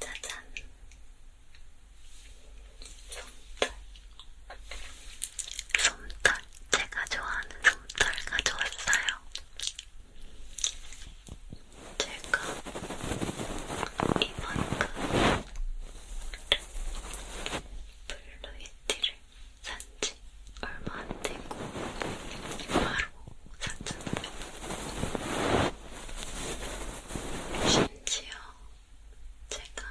짜잔. 솜털. 솜털. 제가 좋아하는 솜털 가져왔어요. 제가 이만큼 그 블루이티를 산지 얼마 안되고 바로 심지어 제가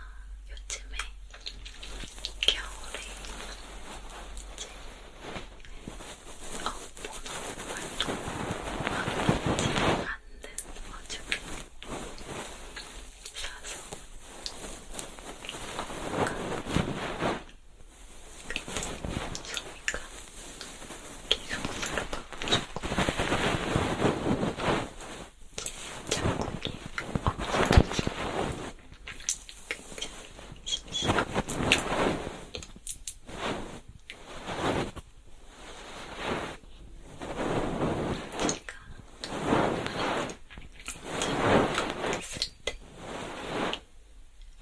요즘에 겨울에 이제 어, 보너 활동을 하는지 않는 와중에 사서 어, 그, 그, 소미가 기성으로 바꿔주고 장군이 없어져서 굉장히 심심합니다. 제가 말했을 때 어,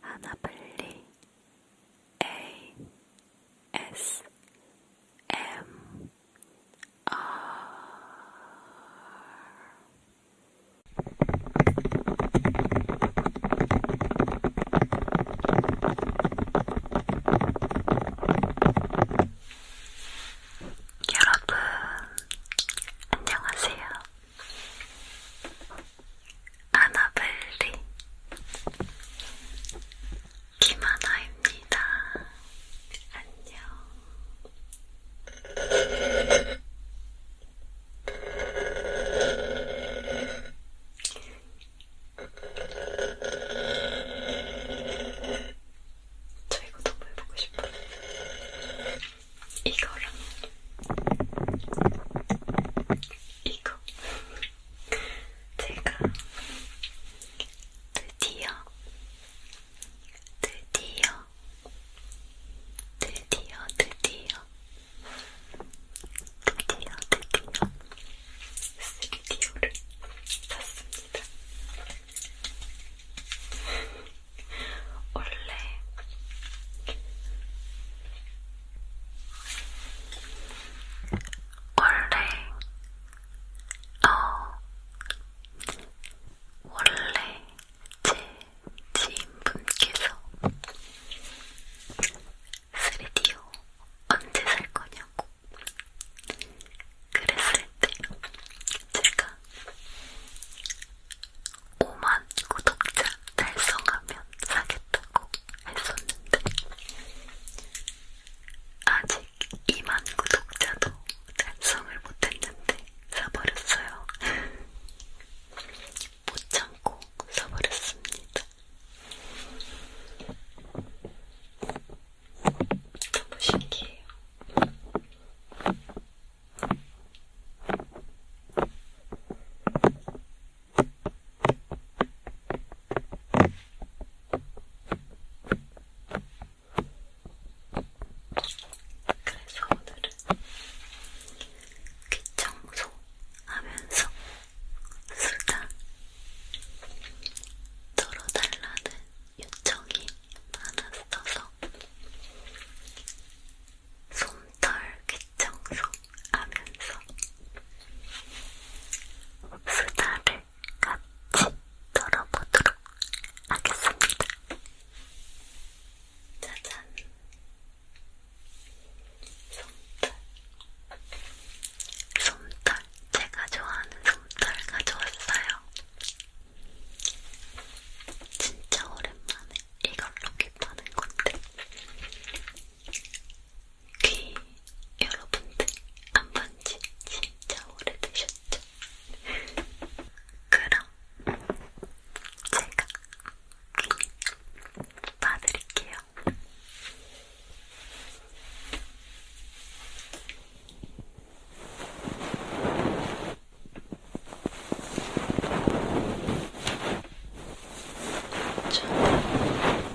하나블리 A S M R 여러분 안녕하세요. 아나벨리 김하나입니다. 안녕. 저 이거 너무 해보고 싶어요. 이거랑 이거 제가 드디어, 드디어, 드디어, 드디어, 드디어, 드디어, 스튜디오를 샀습니다. 원래 원래, 어, 원래 제 지인분께서 3D요 언제 살 거냐고 그랬을 때 제가 5만 구독자 달성하면 사겠다고 했었는데 아직 2만 구독자도 달성을 못했는데 사버렸어요. 못 참고 사버렸습니다. 너무 신기해요. 그래서 오늘은 귀청소 하면서 술다 들어달라는 요청이 많았어서 솜털 귀 청소하면서 수다를 같이 떨어보도록 하겠습니다. 짜잔! 솜털. 솜털. 제가 좋아하는 솜털 가져왔어요. 진짜 오랜만에 이걸로 깃하는 건데 귀 여러분들 안본지 진짜 오래되셨죠? 그럼 제가 귀 봐드릴게요. 저는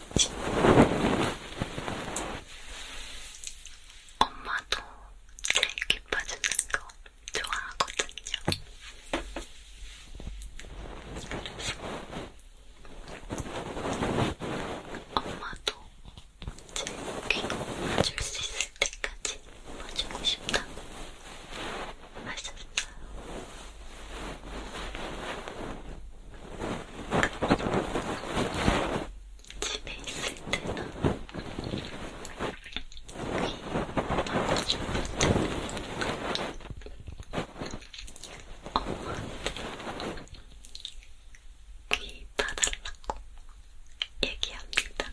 엄마도 제일 기뻐주는 거 좋아하거든요. 그래서 엄마도 제 귀로 봐줄 수 있을 때까지 봐주고 싶다고 하셨어요. 집에 있을 때나 귀 바꿔줄 때 엄마한테 귀 다달라고 얘기합니다.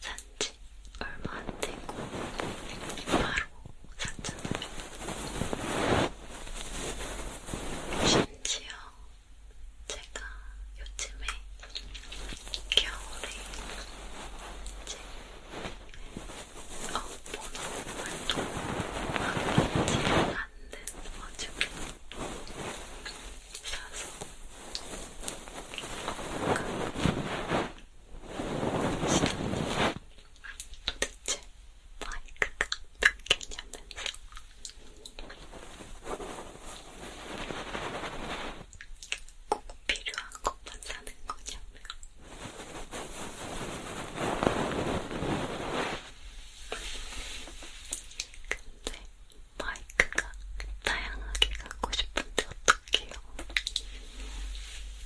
산지 얼마 안 되고 바로 샀잖아요. 심지어 제가 요즘에 겨울에 이제 어, 번호 활동하고 있지 않는 와중에 사서 뭔가 도대체 마이크가 끊겼냐면서 꼭 필요한 것만 사는 거냐며 근데 마이크가 다양하게 갖고 싶은데 어떡해요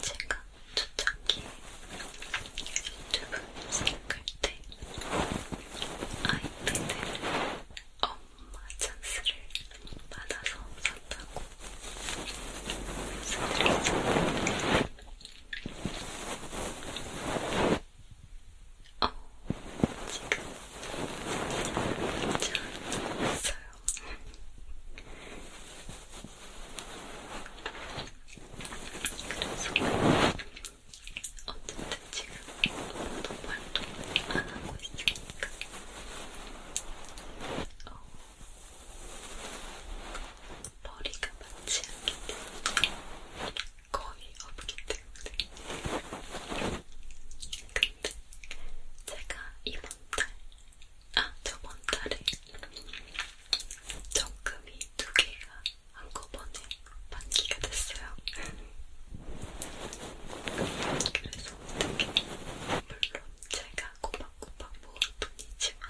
제가 초창기 유튜브 시작할 때 아이패드를 엄마 찬스를 받아서 샀다고 말씀드렸잖아요. 어, 지금 잘했어요. 그래서 어쨌든 지금 아무도 말도 안 하고 있으니까 어, 머리가 맞지 않기 때문에 거의 없기 때문에. 근데 제가 이번 달, 아, 저번 달에 적금이 두 개가 한꺼번에 만기가 됐어요. 그래서 어떻게, 물론 제가 꼬박꼬박 모은 돈이지만,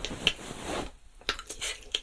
어떻게 돈이 생기면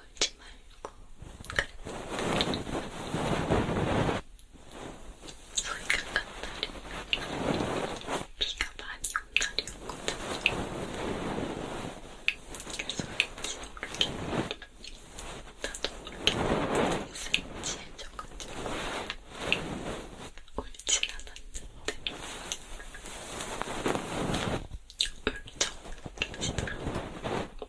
울지 말고 그래 소리가 간 날이 비가 많이 온 날이었거든요 그래서 왠지 모르게 나도 모르게 센치해져가지고 울진 않았는데 울적해지더라고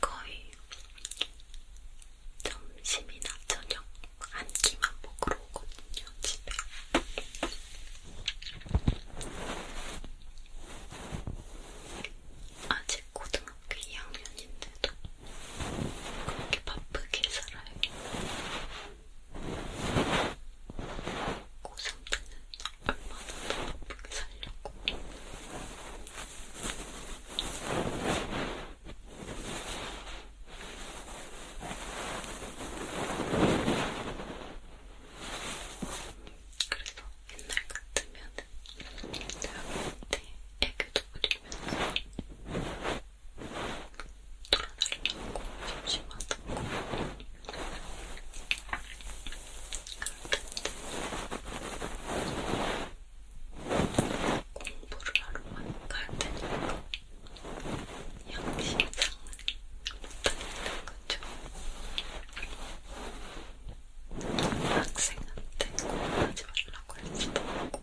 거의 점심이나 저녁 한 끼만 먹으러 오거든요, 집에. 아직 고등학교 2학년인데도 그렇게 바쁘게 살아요. 고3 때는 얼마나 더 바쁘게 살려고 그래서 옛날 같으면 대학한테 애교도 부리면서 돌아다니려고 심심하다고 공부를 하러만 갈 테니까 양심상은 못하겠는 거죠. 학생한테 공부하지 말라고 할 수도 없고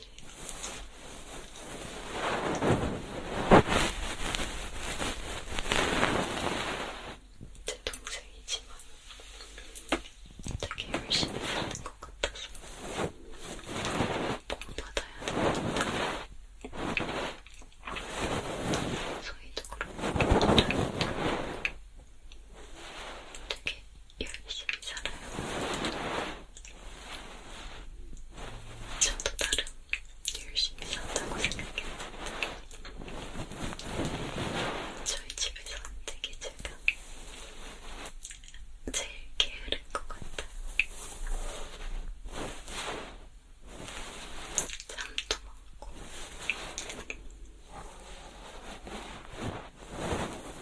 제 동생이지만 되게 열심히 사는 것 같아서 복 받아야 되겠다. 소희도 그렇고 되게 열심히 살아요. 저도 나름 열심히 산다고 생각해요. 저희 집에서 되게 제가 제일 게으른 것 같아요. 잠도 많고 사람마다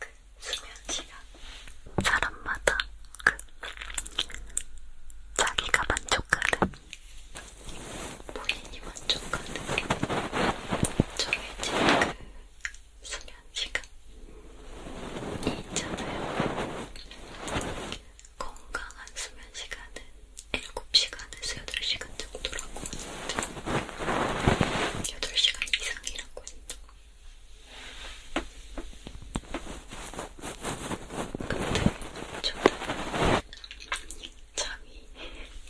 그 수면 시간, 사람마다 그 자기가 만족하는 본인이 만족하는 게 정해진 그 수면 시간이 있잖아요. 건강한 수면 시간은 7시간에서 8시간 정도라고 하는데 8시간 이상이라고 했죠. 근데 저는 잠이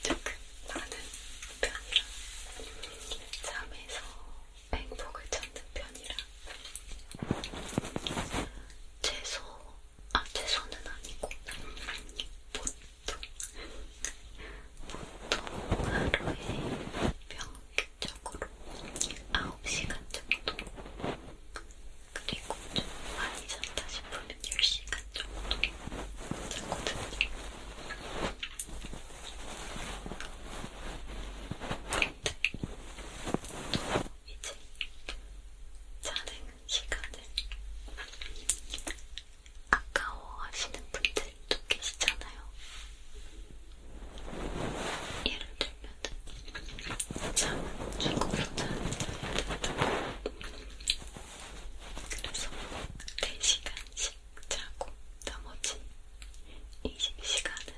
조금 많은 편이라 잠에서 행복을 찾는 편이라 채소, 아 채소는 아니고 보통 보통 하루에 평균적으로 9시간 정도 그리고 꼭좀 많이 잤다 싶으면 10시간 정도 잤거든요. 근데 이제 자는 시간을 아까워하시는 분들도 계시잖아요. 예를 들면 잠은 죽어서 자는 자야 된다. 그래서 4시간씩 자고 나머지 20시간은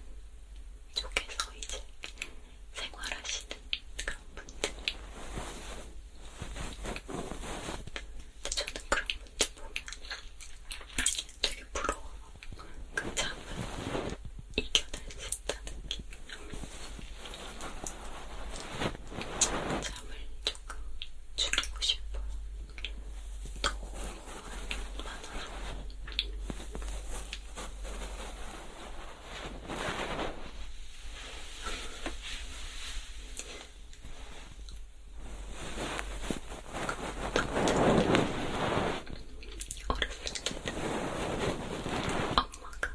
쪽에서 이제 생활하시는 그런 분들 근데 저는 그런 분들 보면 되게 부러워요 그 잠을 이겨낼 수 있다는 게 잠을 조금 줄이고 싶어요. 너무 많아서. 어렸을 때는 엄마가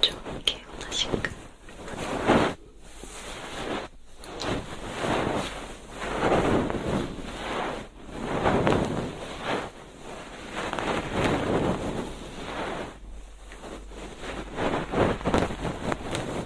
좋게 원하실까?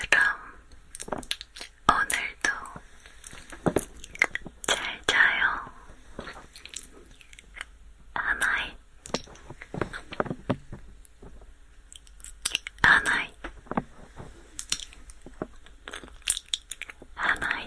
그럼 오늘도 잘 자요. 하나이, 하나이, 하나이,